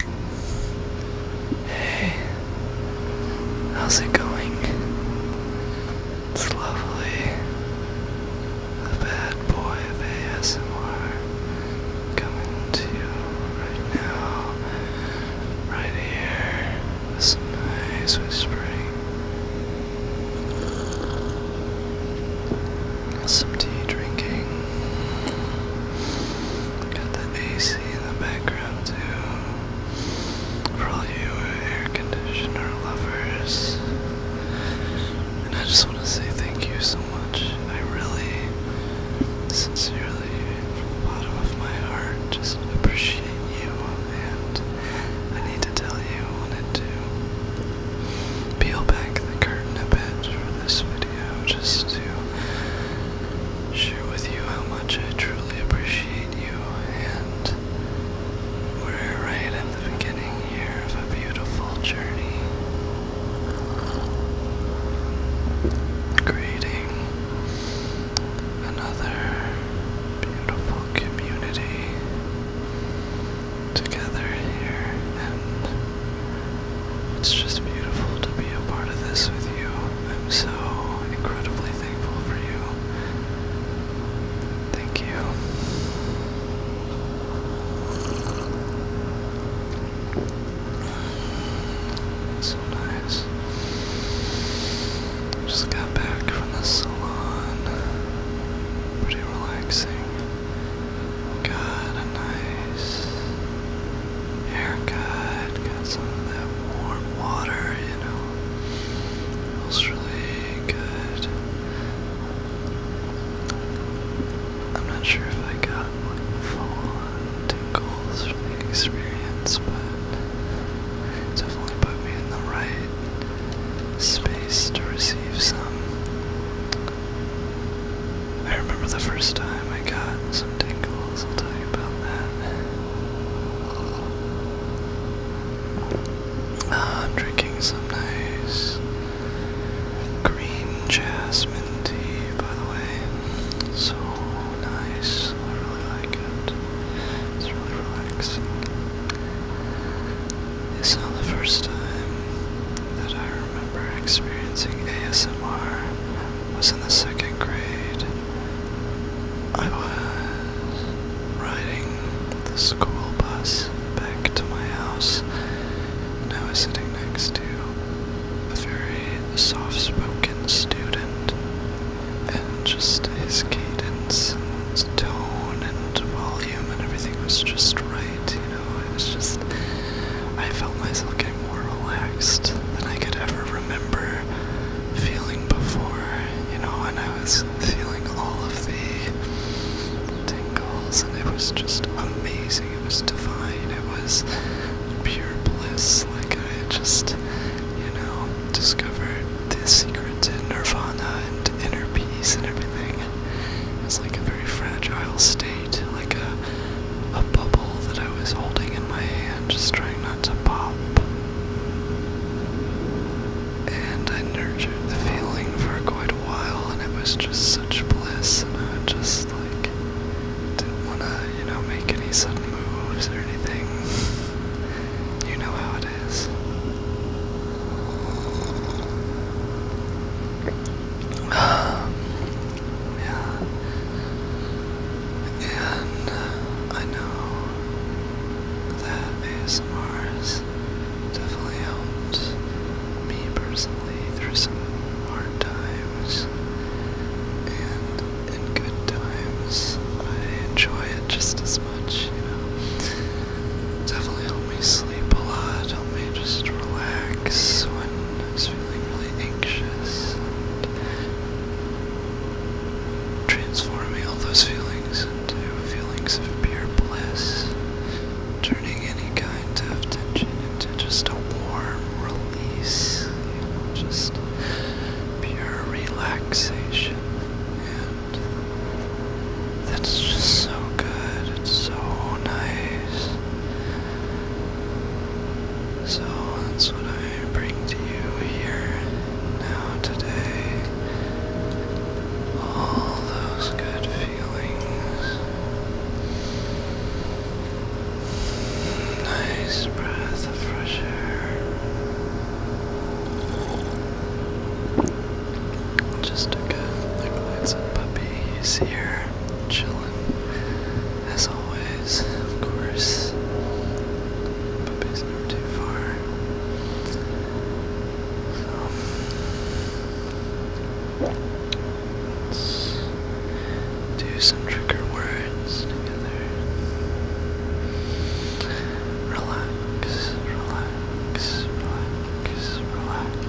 Hey, how's it going? It's lovely. The bad boy of ASMR coming to you right now, right here, some nice whispering, some tea drinking. Got the AC in the background too. For all you air conditioner lovers. And I just want to say thank you so much. I really, sincerely, from the bottom of my heart, just appreciate you. And I need to tell you, I wanted to peel back the curtain a bit for this video just to share with you how much I truly appreciate you and we're right at the beginning here of a beautiful journey. Greeting another beautiful community together here it's just beautiful to be a part of this with you. I'm so incredibly thankful for you. Thank you. So nice. Just got back from the salon. Pretty relaxing. Got a nice haircut, got some of that warm water, you know. Feels really good. I'm not sure if I got like full on tingles from the experience, but it definitely put me in the right space to receive some. I remember the first time I got some tingles, I'll tell you about that. I'm uh, drinking some nice green jasmine tea, by the way. So nice. I really like it. It's really relaxing. It's not the first time that I remember experiencing ASMR was in the second grade. I was riding the school bus back to my house, and I was sitting next to a very soft spoken student, and just his cadence and tone and volume and everything was just right it was just, I felt myself getting more relaxed than I could ever remember feeling before, you know, and I was feeling all of the tingles, and it was just amazing, it was divine, it was pure bliss, like I just, you know, discovered the secret to nirvana and inner peace and everything. It's like a very fragile state like a, a bubble that I was holding in my hand, just trying not to pop. And I nurtured the feeling for quite a while, and it was just such bliss, and I just like didn't want to, you know, make any sudden moves or anything. You know how it is. Um, yeah. And uh, I know that ASMR has definitely helped me personally through some hard times. And in good times, I enjoy it just as much, you know. Definitely help me sleep a lot, help me just relax when I am feeling really anxious. And transforming all those feelings into feelings of pure bliss, turning any kind of tension into just a warm release, just pure relaxation. And that's just so good, it's so nice. So that's what I bring to you here now today. All those good feelings. Nice breath of fresh air. Just a good liquids and puppy. He's here, chilling, as always, of course. Puppy's never too far. So, let's do some trigger words together. Relax, relax, relax, relax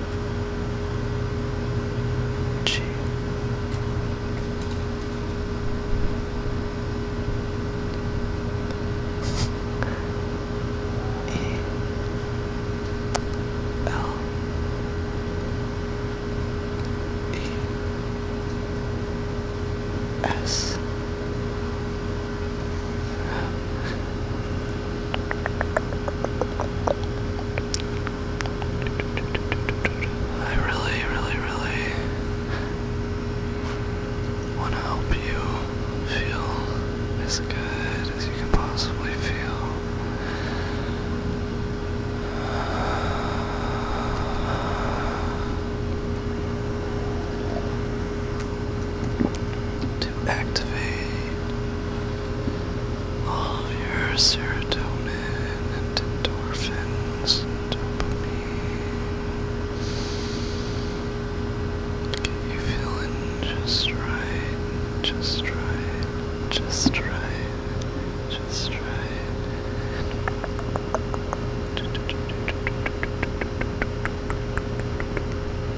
G. E. L. E. S. I really, really, really want to help you feel as good as you can possibly feel. To activate all of your serotonin and endorphins and dopamine. Get you feeling just right, just right, just right, just right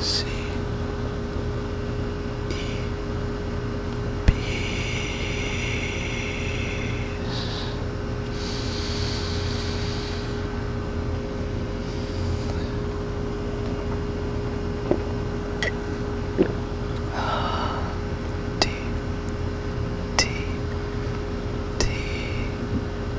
C E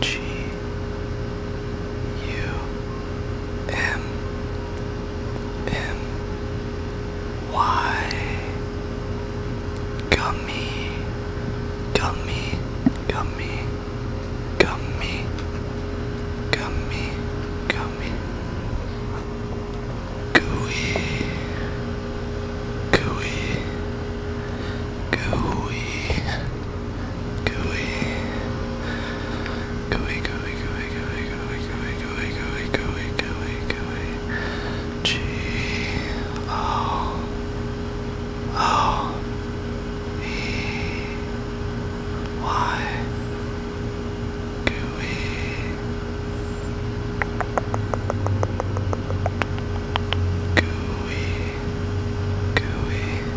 G U M M Y Gummy Gummy Gummy Gummy Gummy Gummy Gooey Gooey Gooey gooey, gooey, gooey, gooey, gooey, gooey, gooey, gooey, gooey, gooey, gooey, G O O E Y, gooey. Gooey, gooey,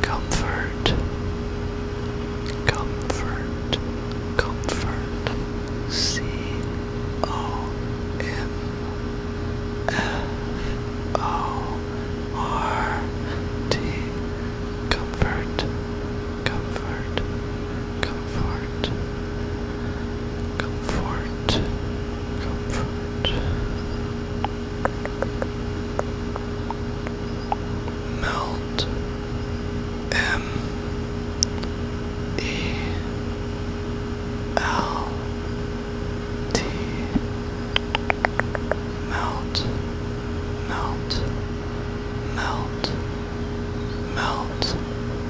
Comfort, comfort, comfort. C O M F O R T. Comfort, comfort, comfort comfort, comfort, comfort. Melt M E L T Melt Melt Melt Melt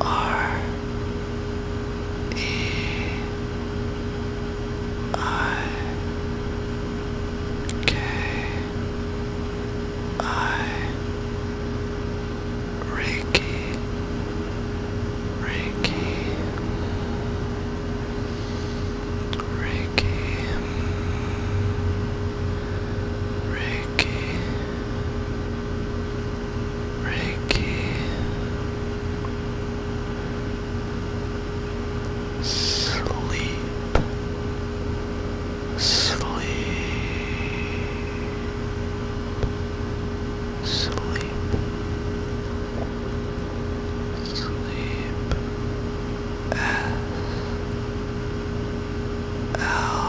R E I K I Reiki Reiki Reiki Reiki Reiki. Sleep. Sleep. Sleep. Sleep. S. L.